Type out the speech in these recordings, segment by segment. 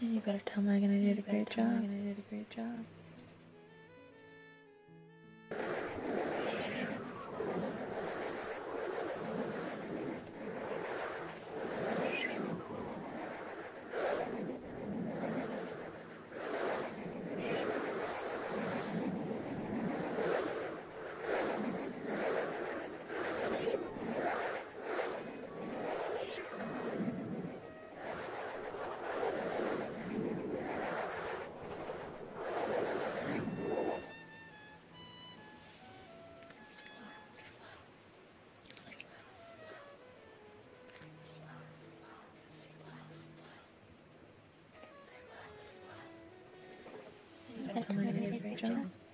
And you better tell Megan I did a great job. Megan I did a great job. That coming in, Rachel?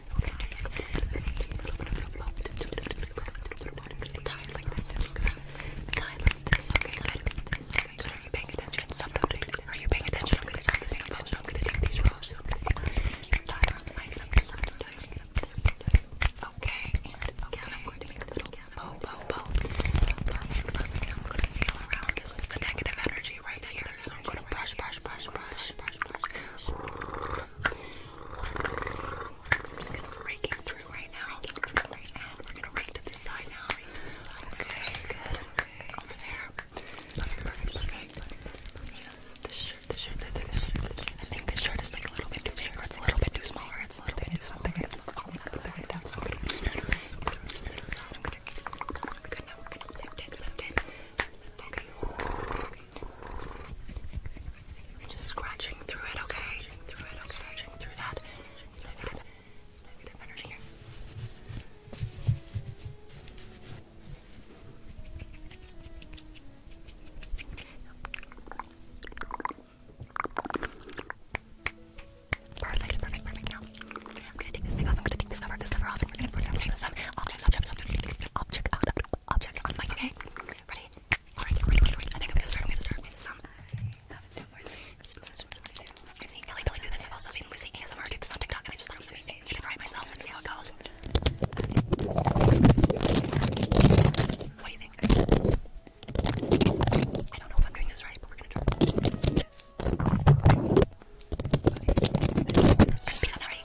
Tied like this. Tied like this. Okay, good. Okay, good. Are you paying attention? Stop talking. Are you paying attention? I'm gonna tie this in ropes. I'm gonna take these ropes. I'm gonna take these ropes. Tie around the mic. I'm just gonna tie. Okay, and okay, I'm going to make a little bow, bow, bow. Perfect, perfect. I'm going to feel around. This is the negative energy right here. So I'm going to brush, brush, brush, brush, brush, brush. brush. I'm just gonna be raking through right now. And we're gonna rake to this side now. Rake to this side. Okay, good. Okay. Over there. Perfect, perfect, perfect. Yes, this shirt, this shirt, this shirt, this shirt, this shirt. I think this shirt is like a little bit too big, or it's a little bit too small, or it's a little bit too small. It's always good. Good now, we're gonna lift it, lift it, lift it. Okay. I'm just scratching through it, okay? Perfect, perfect, perfect. Now, I'm gonna take this thing I'm gonna take this cover, this cover off, and we gonna put it on the sun. Objects, objects, objects, objects, objects, objects, objects, objects on my okay? Ready? Alright, I think I'm gonna I'm gonna start with some. I've seen Billy Billy this, I've also seen Lucy ASMR do this on TikTok, and I just thought it was gonna try myself and see how it goes. What do you think? I don't know if I'm doing this right, but we're gonna try. Yes. Okay. We're gonna speed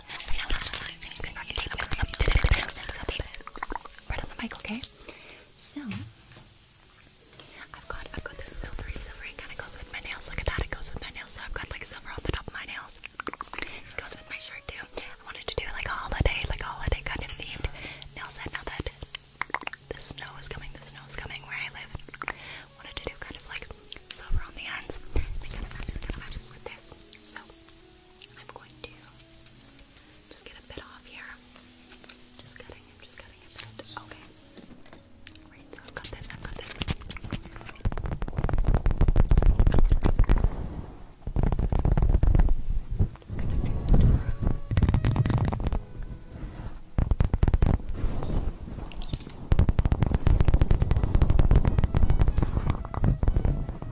Right on the mic, okay? So I've got I've got this silvery silvery kind of goes with my nails. Look at that, it goes with my nails. So I've got like silver on the top of my nails. It goes with my shirt too. I wanted to do like holiday, like holiday kind of themed nail set now that the snow is coming, the snow is coming where I live. wanted to do kind of like silver on the ends. It kind of matches, kind of matches with this. So I'm going to just get a bit off here. Just cutting it, just cutting a bit. Okay. Right, so got this, got this.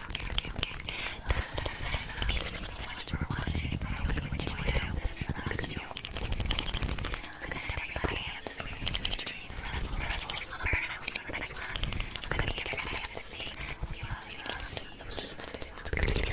so much for watching. I hope you enjoyed this relaxed you. Good night, everybody. Have the sweetest dreams. Restful, restful slumber. And I'll see you in the next one. I'm gonna give everybody a busy. See you all soon. Good night, everybody. Good night. Good night.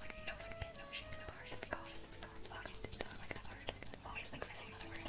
like no spin, no shit, no heart, because I don't like that word. Always thinks I say another word.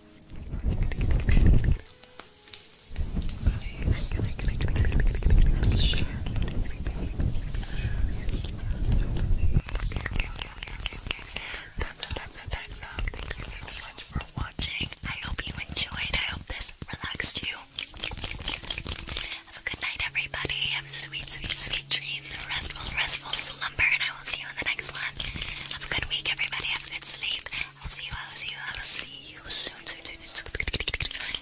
Time's time's time's up. Thank you so much for watching. I hope you enjoyed. I hope this relaxed you. Have a good night, everybody. Have sweet, sweet, sweet dreams and restful, restful restful slumber, and I will see you in the next one. Have a good week, everybody. Have a good sleep. I will see you. I will see you. I will see you soon. Soon, soon, soon.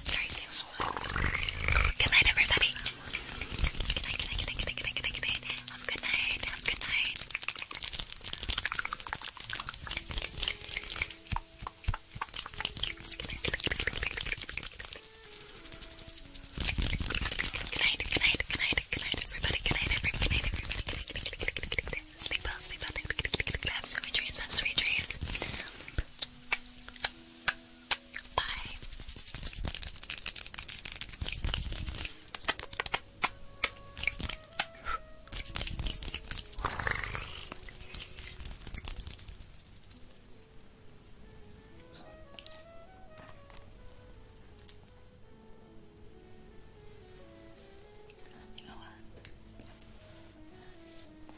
Sorry, soon. Good Good night, good good night, good night, good night, good night. Have a good night. Have a good night. Good night, good night, good night, night, good night, everybody, good night, everybody, good night, everybody, good night, good night, good night, good night, sleep well, sleep well, have sweet dreams, have sweet dreams. Bye. You know what?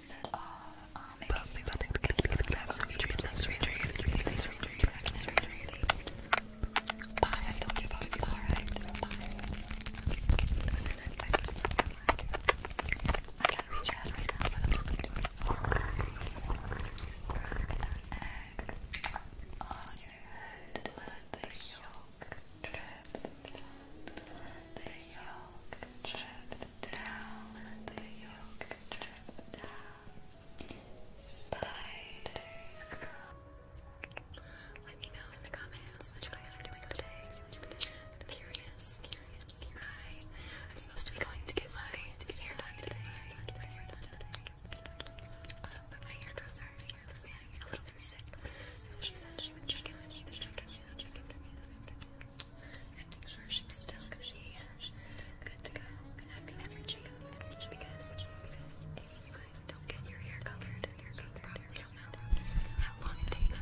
That all, um, probably about to be dreams, like sweet dreams, sweet dreams, like sweet dreams, like sweet dreams. Bye, I feel good about you, alright? Bye. I can't reach your head right now, but I'm just gonna do it. Egg on your head let the yolk drip down, the yolk drip down, the yolk drip down. Spiders Let me know in the comments what you guys are doing today. I'm curious, curious. I, am supposed to be going to get my hair done today. Get my hair done today. Um, but my hairdresser, my hairdresser, a little bit sick. So she said she would check in me, check in with me, check in with me this afternoon. And make sure she still good. She still good to go. Have energy, because if you guys don't get your hair colored, your hair probably don't know how long it takes.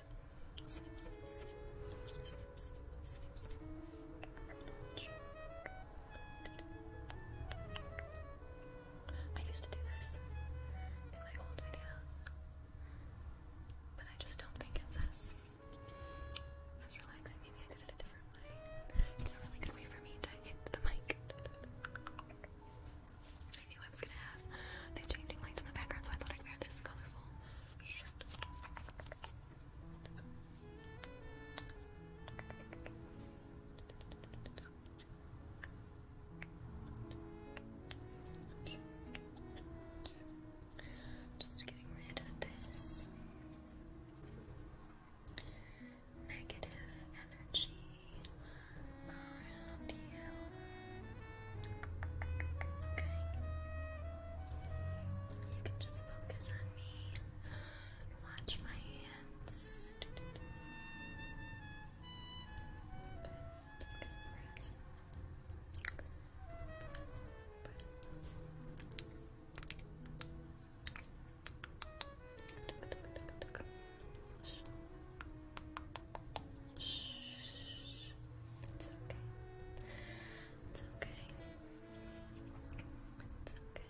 I used to do this in my old videos, but I just don't think it's as as relaxing. Maybe I did it a different way. It's a really good way for me to hit the mic. I knew I was gonna have the changing lights in the background, so I thought I'd wear this colorful shirt. Just getting rid of this negative energy around you. Okay. You can just focus on me watch my hands. just gonna press. Shh. It's okay. It's okay. It's Okay.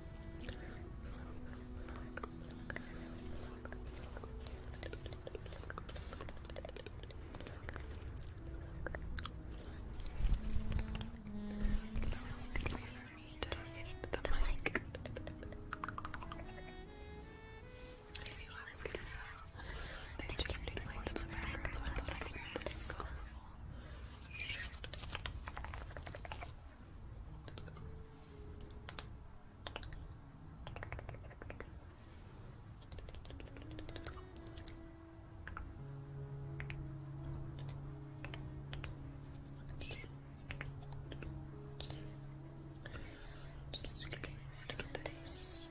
It's really good the mic. If you always get out, they just lights in the background, so just getting rid of this.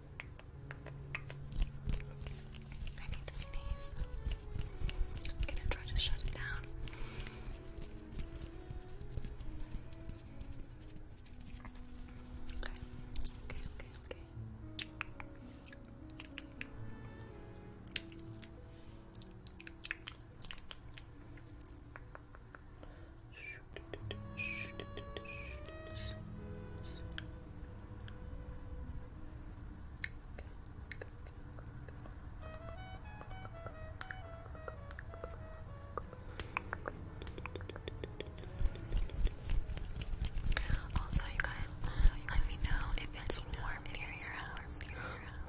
I need to sneeze. I'm gonna try to shut it down. Okay, okay, okay, okay. Also, you guys, let me know if it's warm near your house.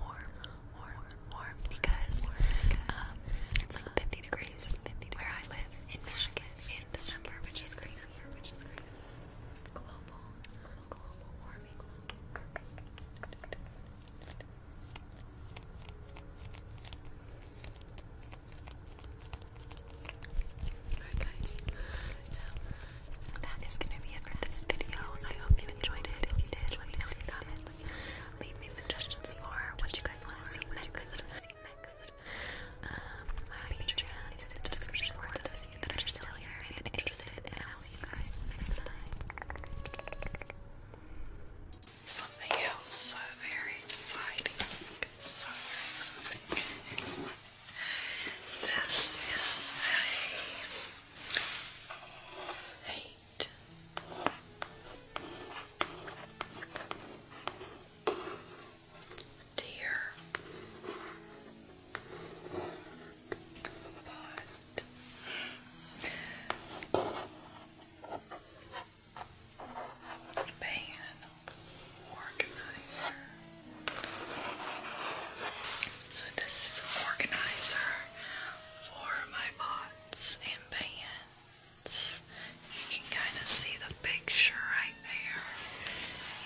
Warm, warm, warm, because um, it's like 50 degrees where I live in Michigan, which is crazy, which is crazy. Alright guys, so, that is gonna be it for this video. I hope you enjoyed it. If you did, let me know in the comments. Leave me suggestions for What you guys want to see next. Um, my Patreon is description for those of you that interested, and I'll see you guys next time. Something else so very exciting. So very exciting. this is a eight dear but pan organizer so this is an organizer for my pots and pans you can kind of see the picture right there.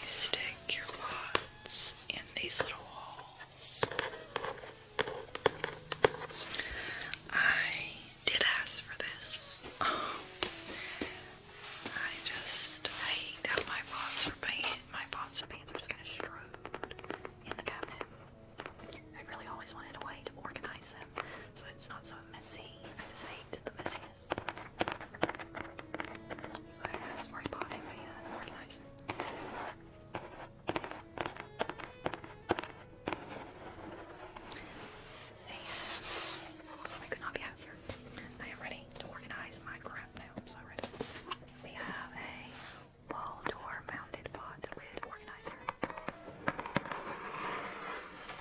You stick your pots in these little holes. I did ask for this. Um, I just hate how my pots are painted. My pots and pans are just kind of strewed in the cabinet. I really always wanted a way to organize them so it's not so messy. I just hate the messy this. I have be happier. I am ready to organize my crap now. I'm so ready. We have a wall door mounted pot lid organizer.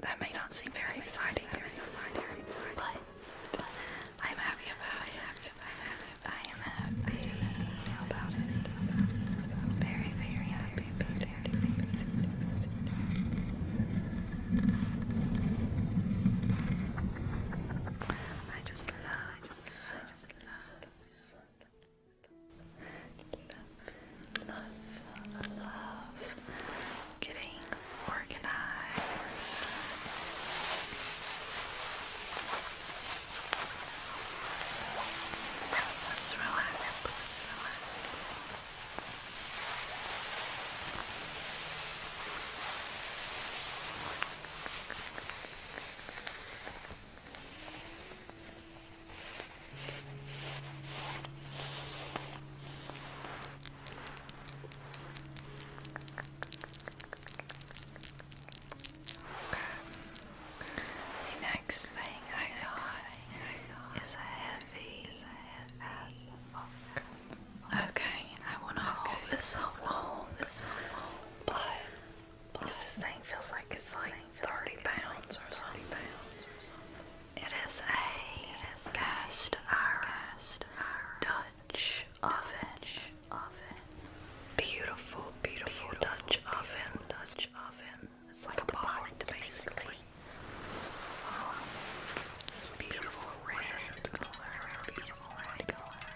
That may not seem very exciting, but I'm happy about it. I am happy Very, very happy about it. I just love love, love, love getting organized. Just relax, relax. The next thing I got is a heavy as Okay, I want to hold this up, hold this up, but this thing feels like it's like 30 pounds or something. It is a cast iron Dutch oven. Beautiful, beautiful Dutch oven. Dutch oven. It's like a pot, basically. beautiful red color. Beautiful red color.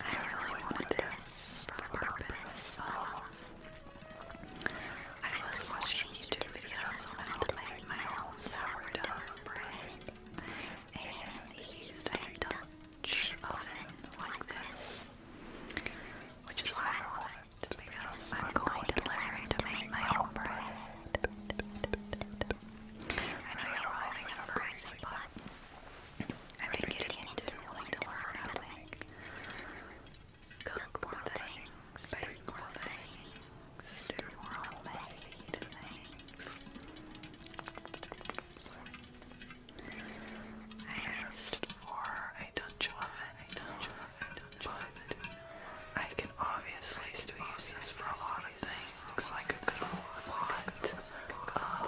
I really wanted this for the purpose um, I was watching YouTube videos on how to make my own sourdough bread, and he used a Dutch oven like this, which is why I want it because I'm going to learn to make my own bread. I know you're all thinking but I've been into it and wanting cook more things, bake more things, do more homemade things. So, I asked for a Dutch oven, a Dutch oven, a Dutch oven. I can obviously still use this for a lot of things. Looks like a good lot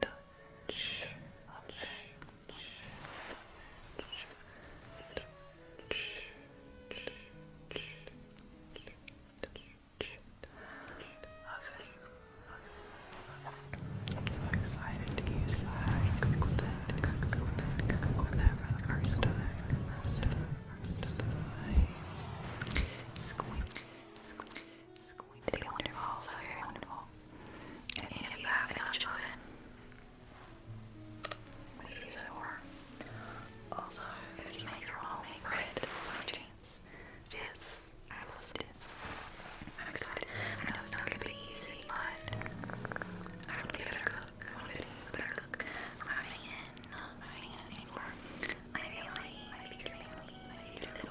touch, I'm so excited to use that. the first time. First time. Squeak, squeak, squeak going to be wonderful, so wonderful. And if you have enough children, we use it Also, if you make your own make bread this, I will see this. I'm excited. I know it's not going to be easy, but I want to be a better cook. to be a better cook. My not my anymore. My family, my future family, my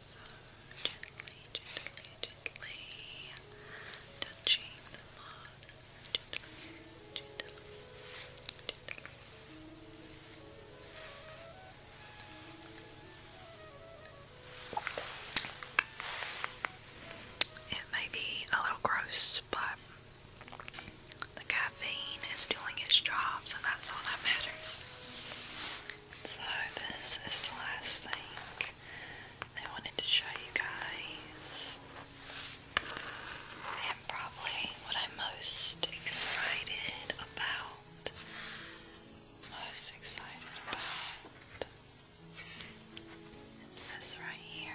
So gently, gently, gently touching the mug. Gently, gently, gently. It may be a little gross, but the caffeine is doing its job, so that's all that matters. So, this is the last thing I wanted to show you guys. And probably what I'm most excited about. Most excited about. It's this right here.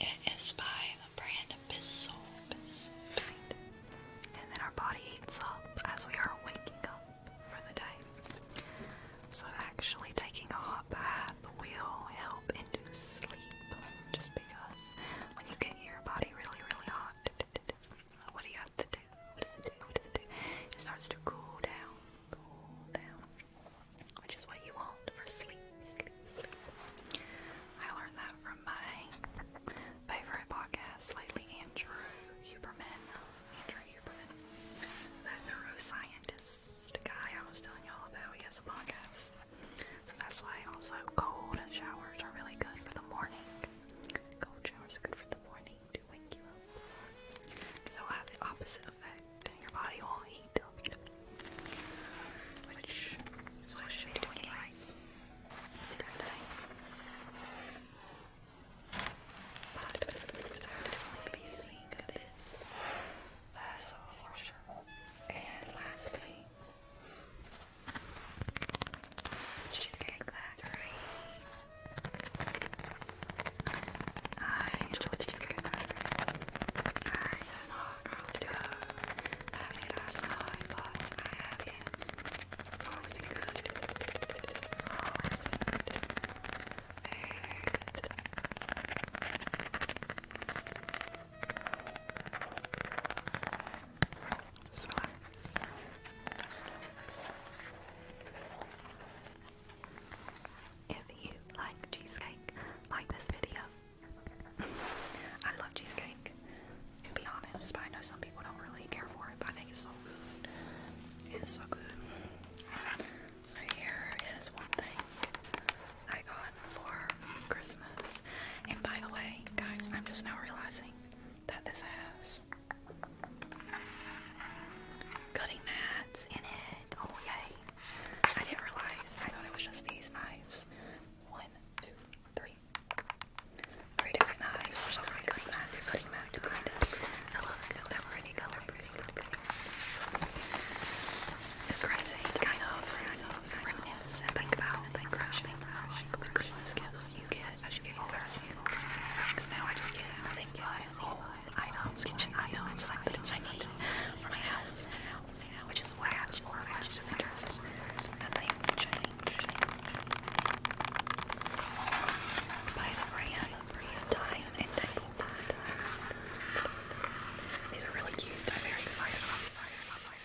It is by the brand Bissell. Bissell. And then our body heats up as we are waking up for the day. So actually taking a hot bath will help induce sleep just because when you get your body really, really hot, what do you have to do? What does it do? What does it do? It starts to cool down which is what you want for sleep, I learned that from my favorite podcast lately, Andrew Huberman. Andrew Huberman, that neuroscientist guy I was telling y'all about. He has a podcast, so that's why also cold showers are really good for the morning. Cold showers good for the morning to So have the opposite effect. Your body will heat up. Which is what I should be doing anyways. definitely be seeing this. That's for sure. And lastly, Cheesecake Factory. I enjoy cheesecake I don't know to have I have it. It's good. It's always good. Very, very good. Just relax. Just relax. If you like cheesecake, like this video. I love cheesecake, to be honest, but I know some people don't really care for it, but I think it's so good. It's so good. So here is one thing I got for Christmas. And by the way, guys, I'm just now realizing that this has cutting mats in it. Oh yay! I didn't realize. I thought it was just these knives. One, two, three. Three different knives. Which cutting mats, cutting mats, I love it because they're pretty color pretty. It's crazy. It's kind of kind of reminisce and think about like crushing Christmas gifts you get as you get older. Because now I just get nothing items, kitchen items, like things I need for my house, which is why I for watching this interest. And things change. By the brand, time and table. These are really cute. I'm very excited about these items.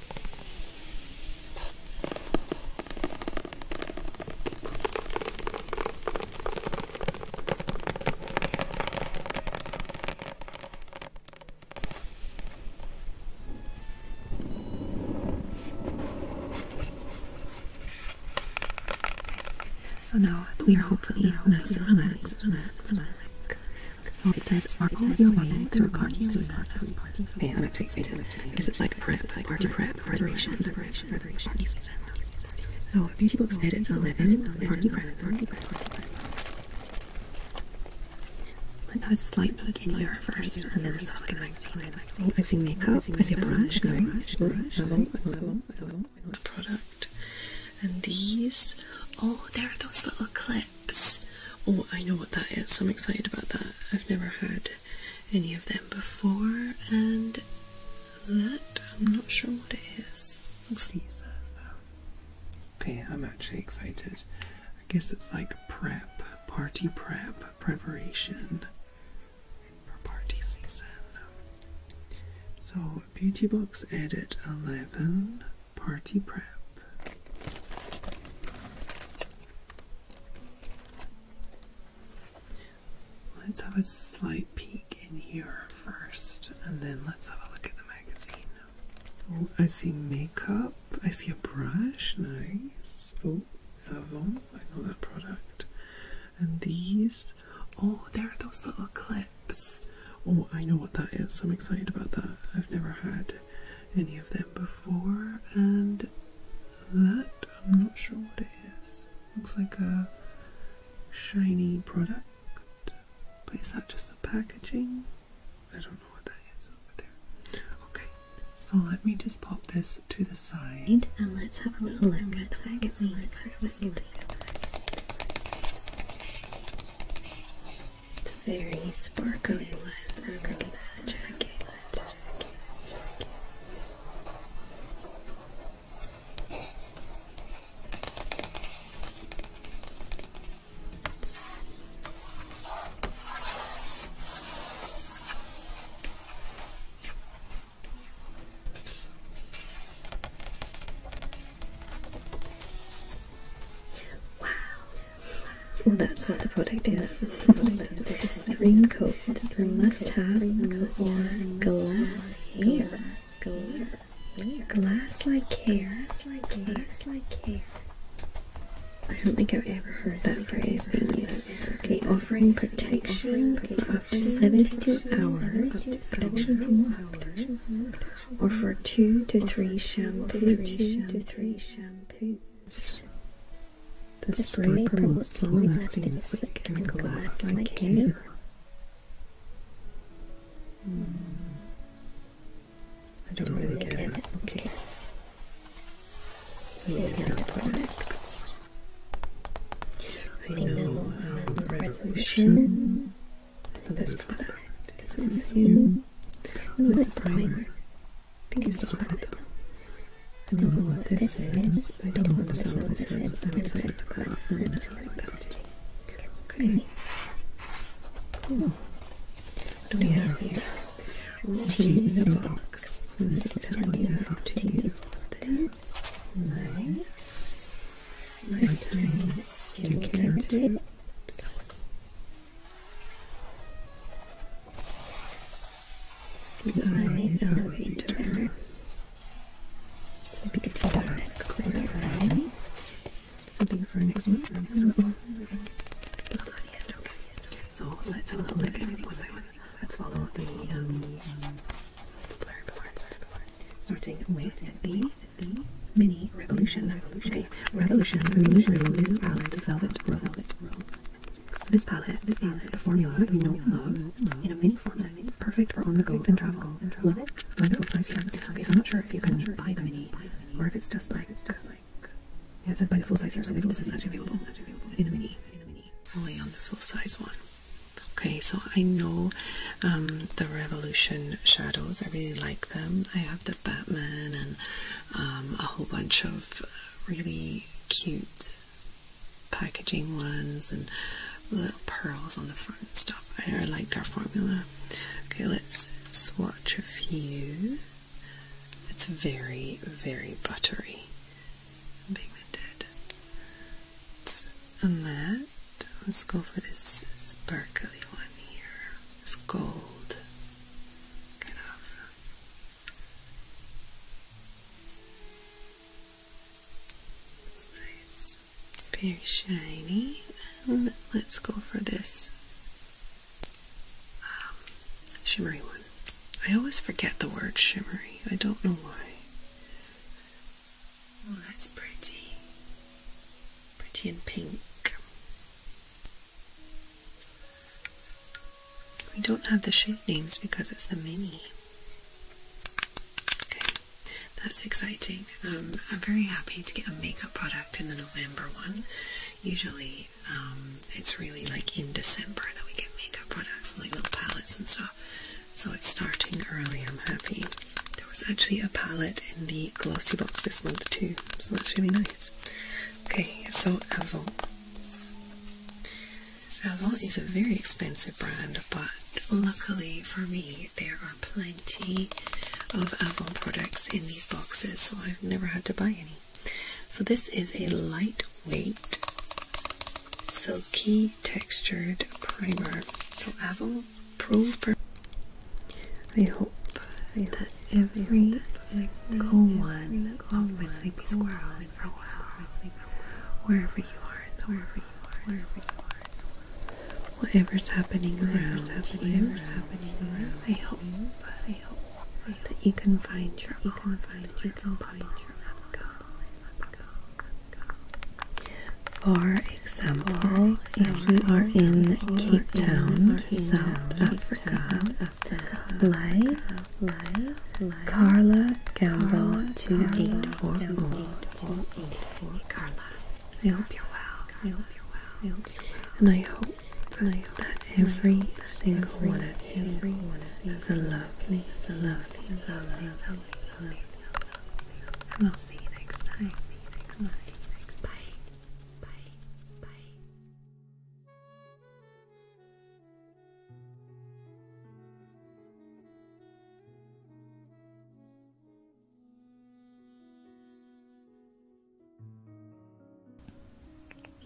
So now we are hopefully nice and relaxed, relaxed, relaxed. So it says sparkle is aligned to Ricardi's suicide as part of the annotated because it's like prep, like party prep, preparation, preparation, preparation, party season. So beauty books edit 11, party prep, party prep, party prep. Let us slight peek in here first, and then just look at my skin. Oh, I see makeup, I see a brush, no, brush, level, level, level, product. And these, oh, there are those little clips. Oh, I know what that is. I'm excited about that. I've never had any of them before, and that I'm not sure what it is. Looks decent though. Okay, I'm actually excited. I guess it's like prep, party prep, preparation for party season. So, beauty box edit 11. Party Prep. Let's have a slight peek in here first, and then let's have a look at the magazine. Oh, I see makeup. I see a brush. Nice. Oh, Avon. I know that product. And these. Oh, there are those little clips. Oh, I know what that is. I'm excited about that. I've never had any of them before, and that I'm not sure what it is. Looks like a shiny product, but is that just the packaging? I don't know what that is over there. Okay, so let me just pop this to the side. And let's have a little look at it's very sparkly Sparkly magic. Wow, and that's what the product is. green coat, a must have, glass hair. Glass like hair. Glass like hair. I don't think I've ever heard that phrase being used. Okay, offering protection for up to 72 hours or for two to three shampoos. The spray promotes long-lasting slick and glass I don't really get it. Okay. So yeah, yeah products. I know um, for this product to consume was the primer because it's not the I don't know what this is. I don't want to know what this is. I'm excited about that. I'm like that. Okay. Cool. Hmm. What do we have here? Tea in a box. So this is telling you how to use this. Nice. Lifetime skincare tips. Divine elevator. Big dark clear eyes. Something for next one. So let's have a look at everything one by one. Let's follow the um, part. Starting with the E mini revolution revolution okay. revolution revolution revolution palette velvet rose. This palette this is the formula in a mini format. It's perfect for on the go and travel. Love it. Wonderful size here. Okay, so I'm not sure if you can buy the mini or if it's just like it's just like yeah, it's by the full size here, so maybe this is not available in a mini. In a mini, only on the full size one. Okay, so I know um, the Revolution shadows. I really like them. I have the and um, a whole bunch of really cute packaging ones and little pearls on the front and stuff. I, like their formula. Okay, let's swatch a few. It's very, very buttery and pigmented. It's a Let's go for this sparkly one here. It's gold kind of it's nice very shiny let's go for this um, shimmery one I always forget the word shimmery I don't know why oh that's pretty pretty and pink we don't have the shape names because it's the mini. Okay, that's exciting. Um, I'm very happy to get a makeup product in the November one. Usually, um, it's really like in December that we get makeup products and like little palettes and stuff. So it's starting early. I'm happy. There was actually a palette in the glossy box this month too, so that's really nice. Okay, so Avon. Avon is a very expensive brand, but luckily for me, there are plenty of Avon products in these boxes, so I've never had to buy any. So this is a lightweight, silky textured primer. So Avon I hope that every single one of my sleepy squirrels wherever you are, wherever you are, wherever you are, whatever's happening around, whatever's happening around, I hope, I hope that you can find your you can find your own bubble. Let's go. For example, if you are in Cape Town, South Africa, lie Carla Gamble 2840. I hope you're well. And I hope that every single one of you is a lovely, lovely, and I'll see you next time. Bye. Bye. Bye.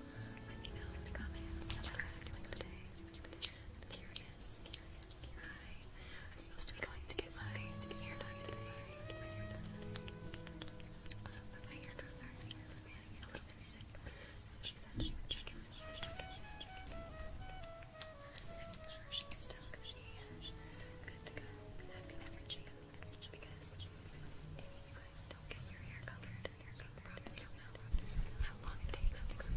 Let me know in the comments how you guys are doing today. I'm curious. curious. Hi. I'm supposed to be going to get my hair done today. But my hairdresser is getting a little so she said she would check in. She would check she's still, she's still good to go. Back energy. Because if you guys don't get your hair colored, your hair colored probably do how long it takes Thank you.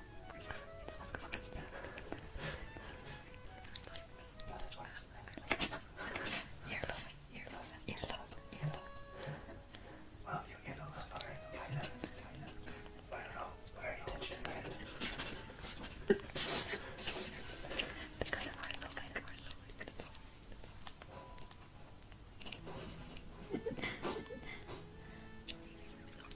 Earlobe, earlobe, earlobe, earlobe. Well, you get a little far, kind of, kind of. I don't know, very intentional. the kind of earlobe, kind of earlobe. That's all. That's all.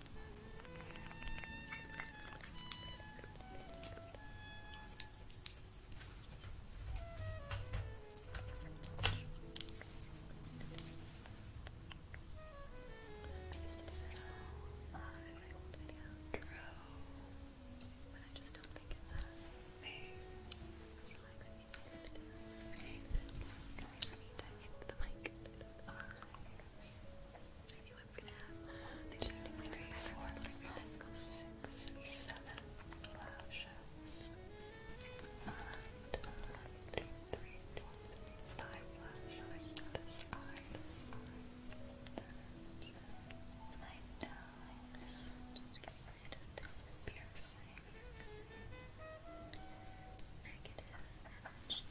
But I just don't think it's as very as relaxing as it is. It's really to the mic. I knew I was going the shooting like the Just get rid of this piercing. Negative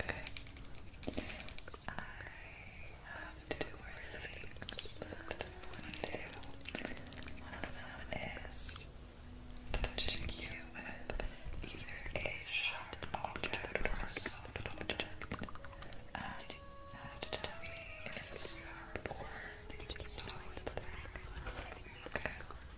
Okay. I have to do One of them is touching you with either a sharp object And you have to tell me if it's sharp or soft.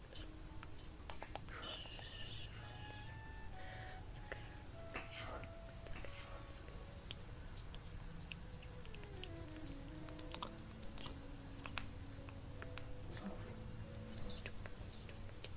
It's okay. It's okay. It's okay. Stupid, stupid.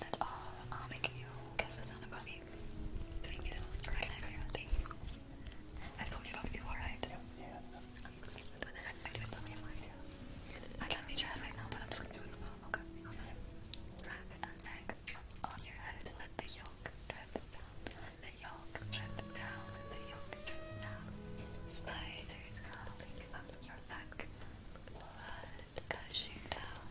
That's all. Uh, I'll make you guess the sound about me. Thank you. Right now, thank you. I've told you about before, I'm do it the same way. I can't reach your right now, but I'm just gonna do it with okay? Wrap a neck on your head. Let the yolk drip down. Let the yolk drip down. Let the yolk drip down. Spiders crawling up your back. Blood gushing down.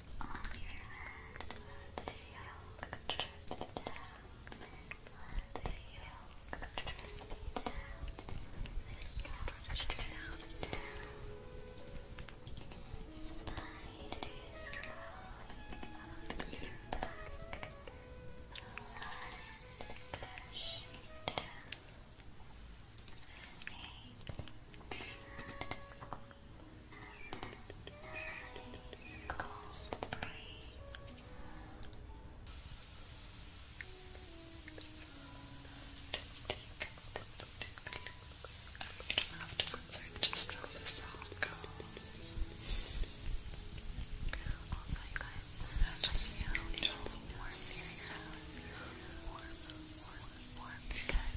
on your head, let the yolk drip down, let the yolk drip down, let it drip Spiders crawling up your back, blood gushing down. Eight, cold breeze. I'm afterwards, I just how uh, the sound goes. Also, you guys, I just feel it warm here Warm, warm, warm, because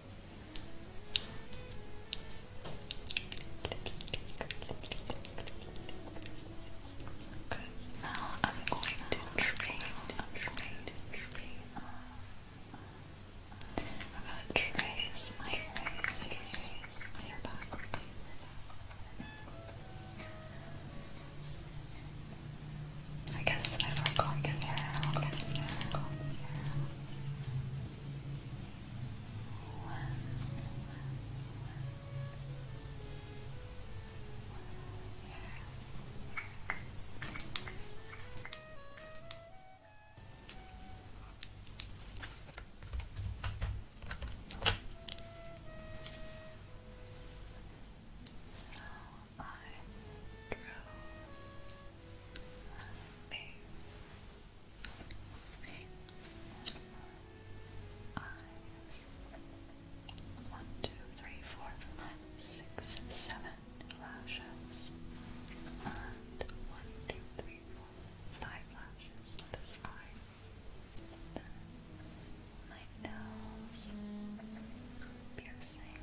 Good. Now I'm going to train, train, train. I'm going to trace my face, I guess I forgot. I so I drew my face. Eight. Eyes. One, two, three, four, five, six, seven lashes. And one, two, three, four, five lashes on this eye. my nose. Piercing.